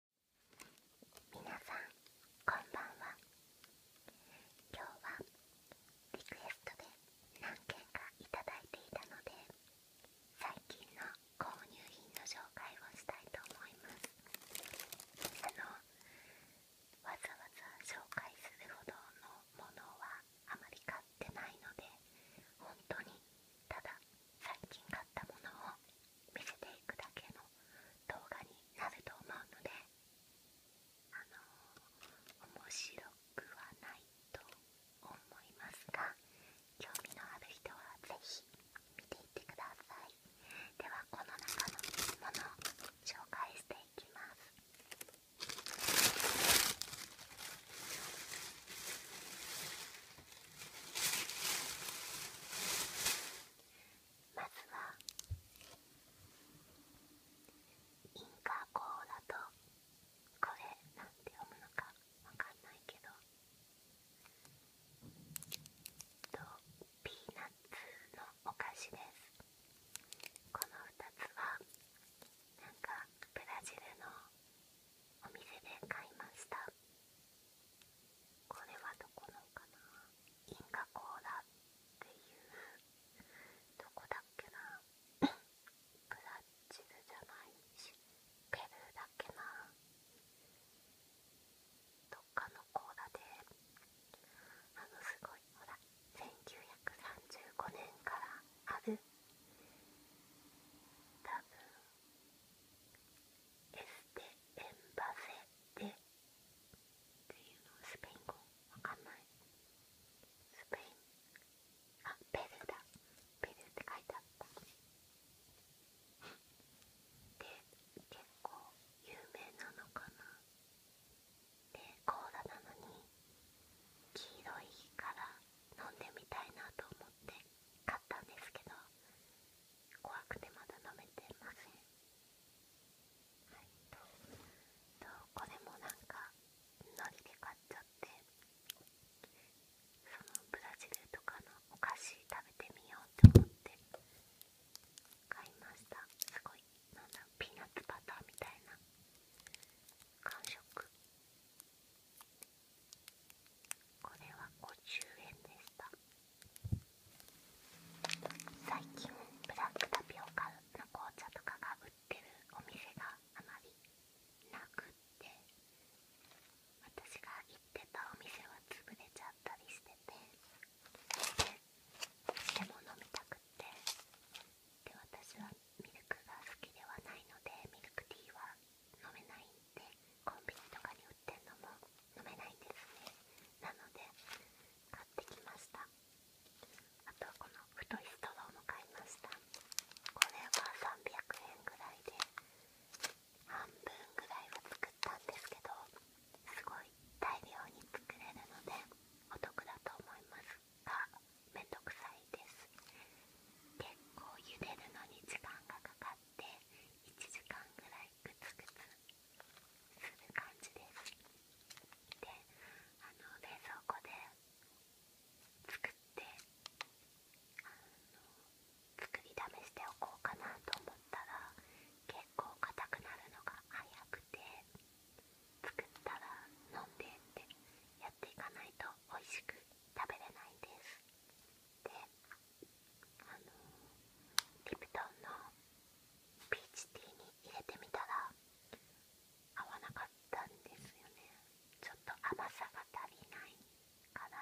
皆さんこんばんは今日はリクエストで何件か頂いていたので最近の購入品の紹介をしたいと思いますあのわざわざ紹介するほどのものはあまり買ってないので本当にただ最近買ったものを見せていくだけの動画になると思うのであの面白くはないと思いますが興味のある人は是非見ていってくださいではこの中のものを紹介していきますまずはインカコーラとこれなんて読むのかわかんないけどピーナッツのお菓子ですこの2つはなんかブラジルのお店で買いましたこれはどこのかなインカコーラっていうどこだっけなブラッジルじゃないしペルーだっけなどっかのコーラであのすごいほら1935年からあるたぶん。エステエンバセテっていうのスペイン語わかんないスペインあペルーだペルーって書いてあったで結構有名なのかなでコーラなのに黄色いから飲んでみたいなと思って買ったんですけど怖くてまだ飲めてませんはいととこれもなんかノリで買っちゃってそのブラジルとかのお菓子食べてみようと思って買いましたすごいなんだピーナッツバターみたいな感触これは50円でした最近ブラックタピオカの紅茶とかが売ってるお店があまりなくって私が行ってたお店は潰れちゃったりしててでも飲みたくってで私はミルクが好きではないのでミルクティーは飲めないんでコンビニとかに売ってるのも飲めないんですねなので買ってきましたあとこの太いストローも買いましたこれは300円ぐらいで半分ぐらいは作ったんですけどすごい大量に作れるのでお得だと思いますがめんどくさいです結構茹でるのに時間がっ1時間ぐらいグツグツする感じですであの冷蔵庫で作って作り試しておこうかなと思ったら結構硬くなるのが早くて作ったら飲んでってやっていかないと美味しく食べれないんですであのリプトンのピーチティーに入れてみたら合わなかったんですよねちょっと甘さが足りないから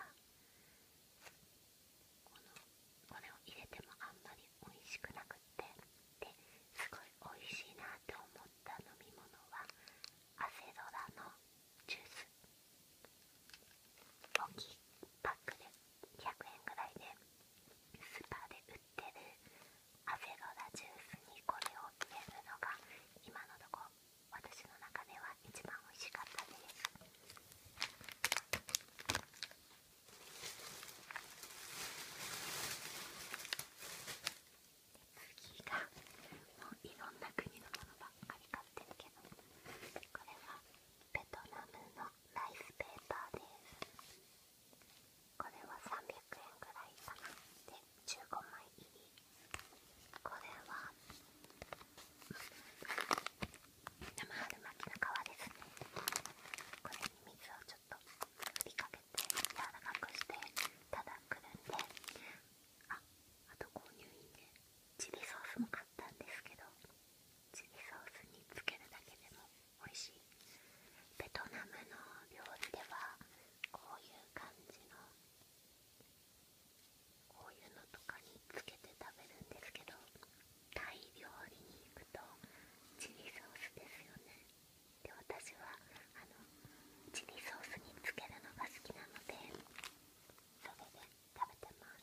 このこれを入れてもあんまり美味しくなくってですごい美味しいなって思った飲み物はアセロラのジュース大きいパックで100円ぐらいでスーパーで売ってるアセロラジュースにこれを入れるのが今のところ私の中では一番美味しかったです次がもういろんな国のものばっかり買ってるけどこれはベトナムのライスペーパーですこれは300円ぐらいかなで15枚入りこれは生春巻きの皮ですねこれに水をちょっと振りかけて柔らかくしてただくるんであと購入品で、チリソースも買ったんですけどチリソースにつけるだけでも美味しいベトナムの料理ではこういう感じのこういうのとかにつけて食べるんですけどタイ料理に行くとチリソースですよねで私はあのチリソースにつけるのが好きなのでそれで食べてます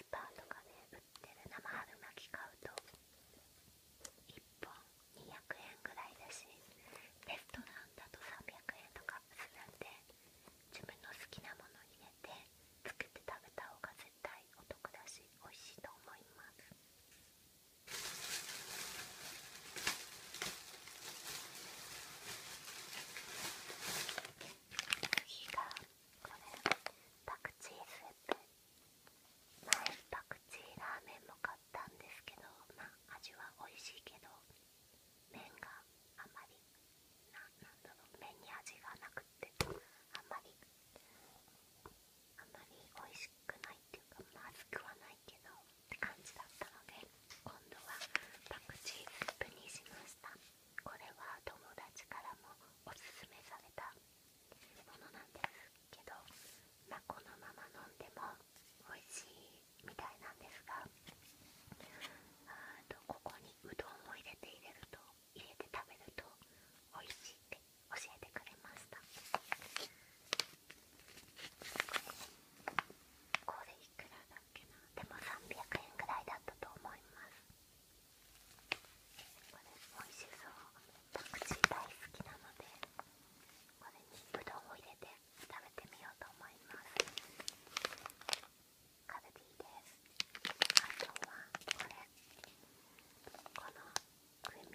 スーパーとかで売ってる生春巻き買うと1本200円くらいだしレストランだと300円とかするので自分の好きなもの入れて作って食べた方が絶対お得だし美味しいと思います次がこれパクチースープ前パクチーラーメンも買ったんですけどまあ味は美味しいけど麺があまり麺に味がなくてあんまりあんまり美味しくないっていうかまずくはないけど感じだったので今度はパクチースにしましたこれは友達からもおすすめされたものなんですけど、まあ、このまま飲んでも美味しいみたいなんですがここにうどんを入れて入れると入れて食べると美味しいって教えてくれましたこれいくらだっけなでも300円ぐらいだったと思いますこれ美味しそうパクチー大好きなのでこれにうどんを入れて食べてみようと思いますカルディですあとはこれこの組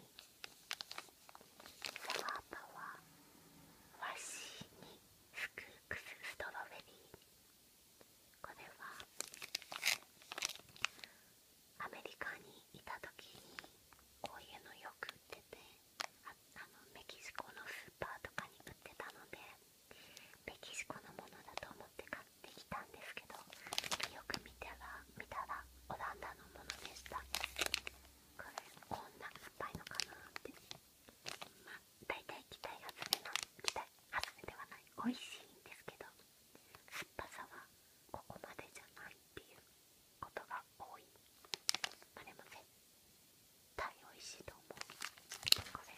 サワーパワー和紙にスクークスストロベリーこれはアメリカにいた時にこういうのよく売っててあのメキシコのスーパーとかに売ってたのでメキシコのものだと思って買ってきたんですけどよく見たら見たらオランダのものでした。これこんな硬いのかなってまあ大体期待外れの期待外れではない美味しいんですけど酸っぱさはここまでじゃないっていうことが多いあれも絶対美味しいと思うこれ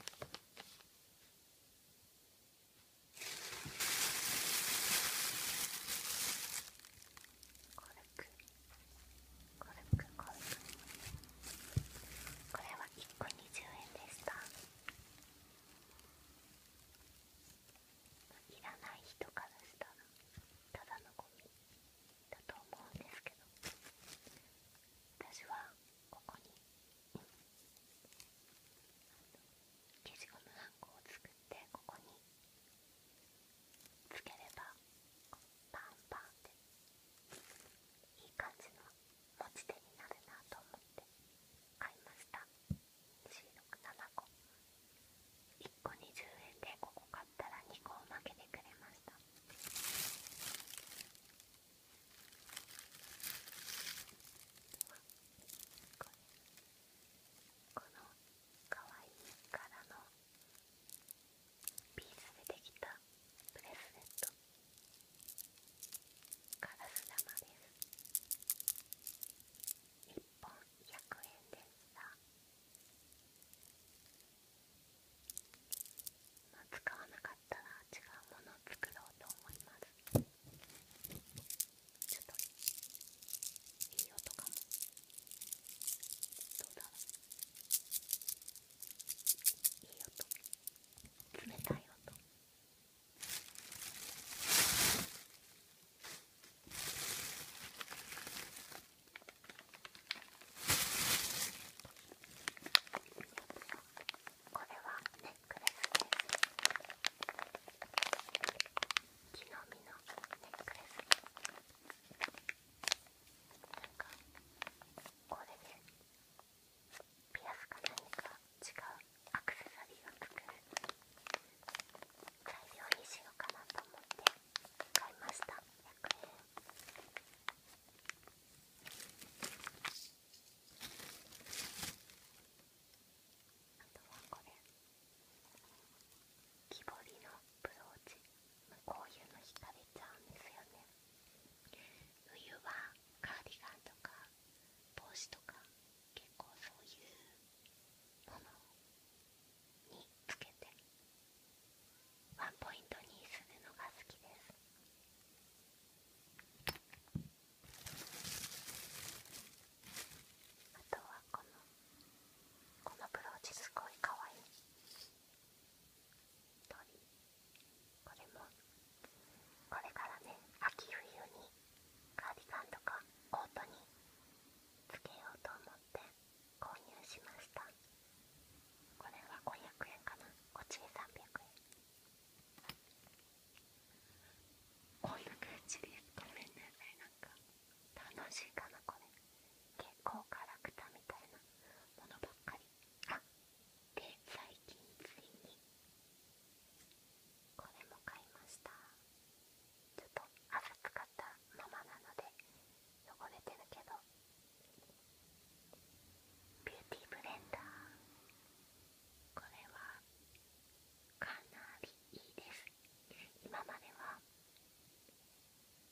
これは1個20円でしたいらない人からしたらただのゴミだと思うんですけど私はここに、消しゴムはんこを作ってここにつければパンパンっいい感じの持ち手になるなと思って買いました267個1個20円でここ買ったら2個を負けてくれましたこのかわいいらのピースでできたブレスレットガラス玉です1本100円でしたまあ使わなかったら違うものを作ろうと思いますちょっといい音かもどうだろういい音冷たい音これはネックレスです。木の実のネックレスなんかこれでピアスか何か違うアクセサリーを作る材料にしようかなと思って買いました100円あとはこれ木彫りのブローチこういうの惹かれちゃうんですよね冬はカーディガンとか帽子とか結構そういうものにつけてワンポイントにするのが好きですあとはこのこのブローチすごい可愛い鳥これもこれからね秋冬にカーディガンとかコートにつけようと思って購入しましたこれは500円かなこっちに300円こんな感じですごるんなさいなんか楽しいかなこれ結構辛くクみたいなものばっかりあっで最近ついにこれも買いましたちょっと暑かったままなので汚れてるけどビューティーブレンダーこれはかなりいいです今までは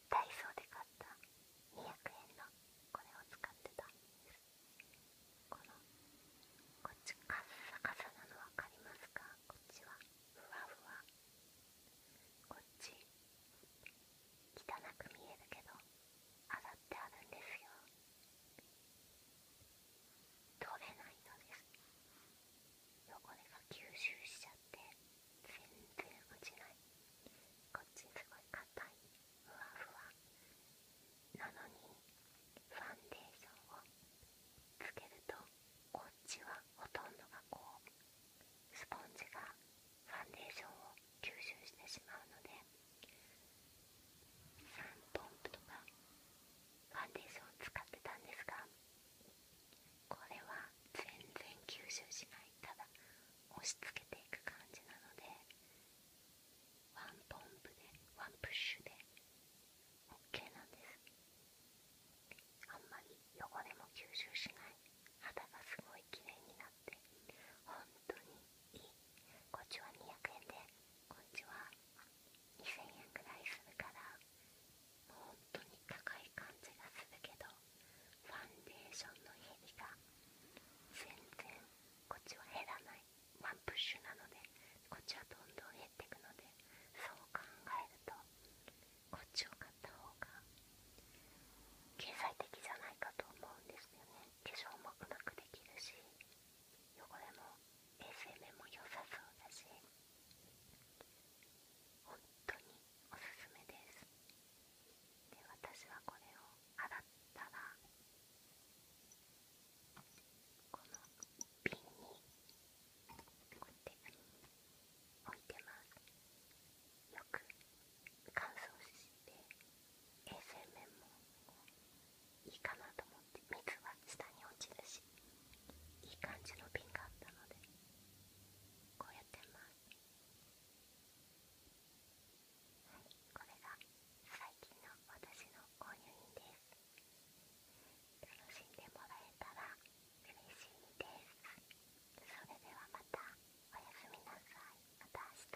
ダイソーで買った200円のこれを使ってたこのこっちカッサカサなの分かりますかこっちはふわふわこっち汚く見えるけど洗ってあるんですよ取れないのです汚れが吸収しちゃって全然落ちないこっちすごい硬いふわふわなのにファンデーションをつけるとこっちはほとんどがこうスポンジがファンデーションを吸収してしまうので3ポンプとかファンデーションを使ってたんですがこれは全然吸収しないただ押し付けていく感じなのでワンポンプでワンプッシュで OK なんですあんまり汚れも吸収しない肌がすごい綺麗になって本当にいいこっちは200円でこっちは2000円くらいするからもう本当に高い感じがするけどファンデーションの減りが全然こっちは減らないワンプッシュなのでこっちはどんどん減っていくのでそう考えるとこっちを買った方が経済的じゃないかと思うんですよね化粧もうまくできるし汚れも衛生面も良さそうだし本当におすすめですで私はこれを洗ったらこの瓶にこうやって置いてますよく乾燥して衛生面もいいかなと思って水は下に落ちるしいい感じの瓶があったのでこうやってますはいこれが最近の私の購入品です楽しんでもらえたら嬉しいですそれではまたおやすみなさいまた明日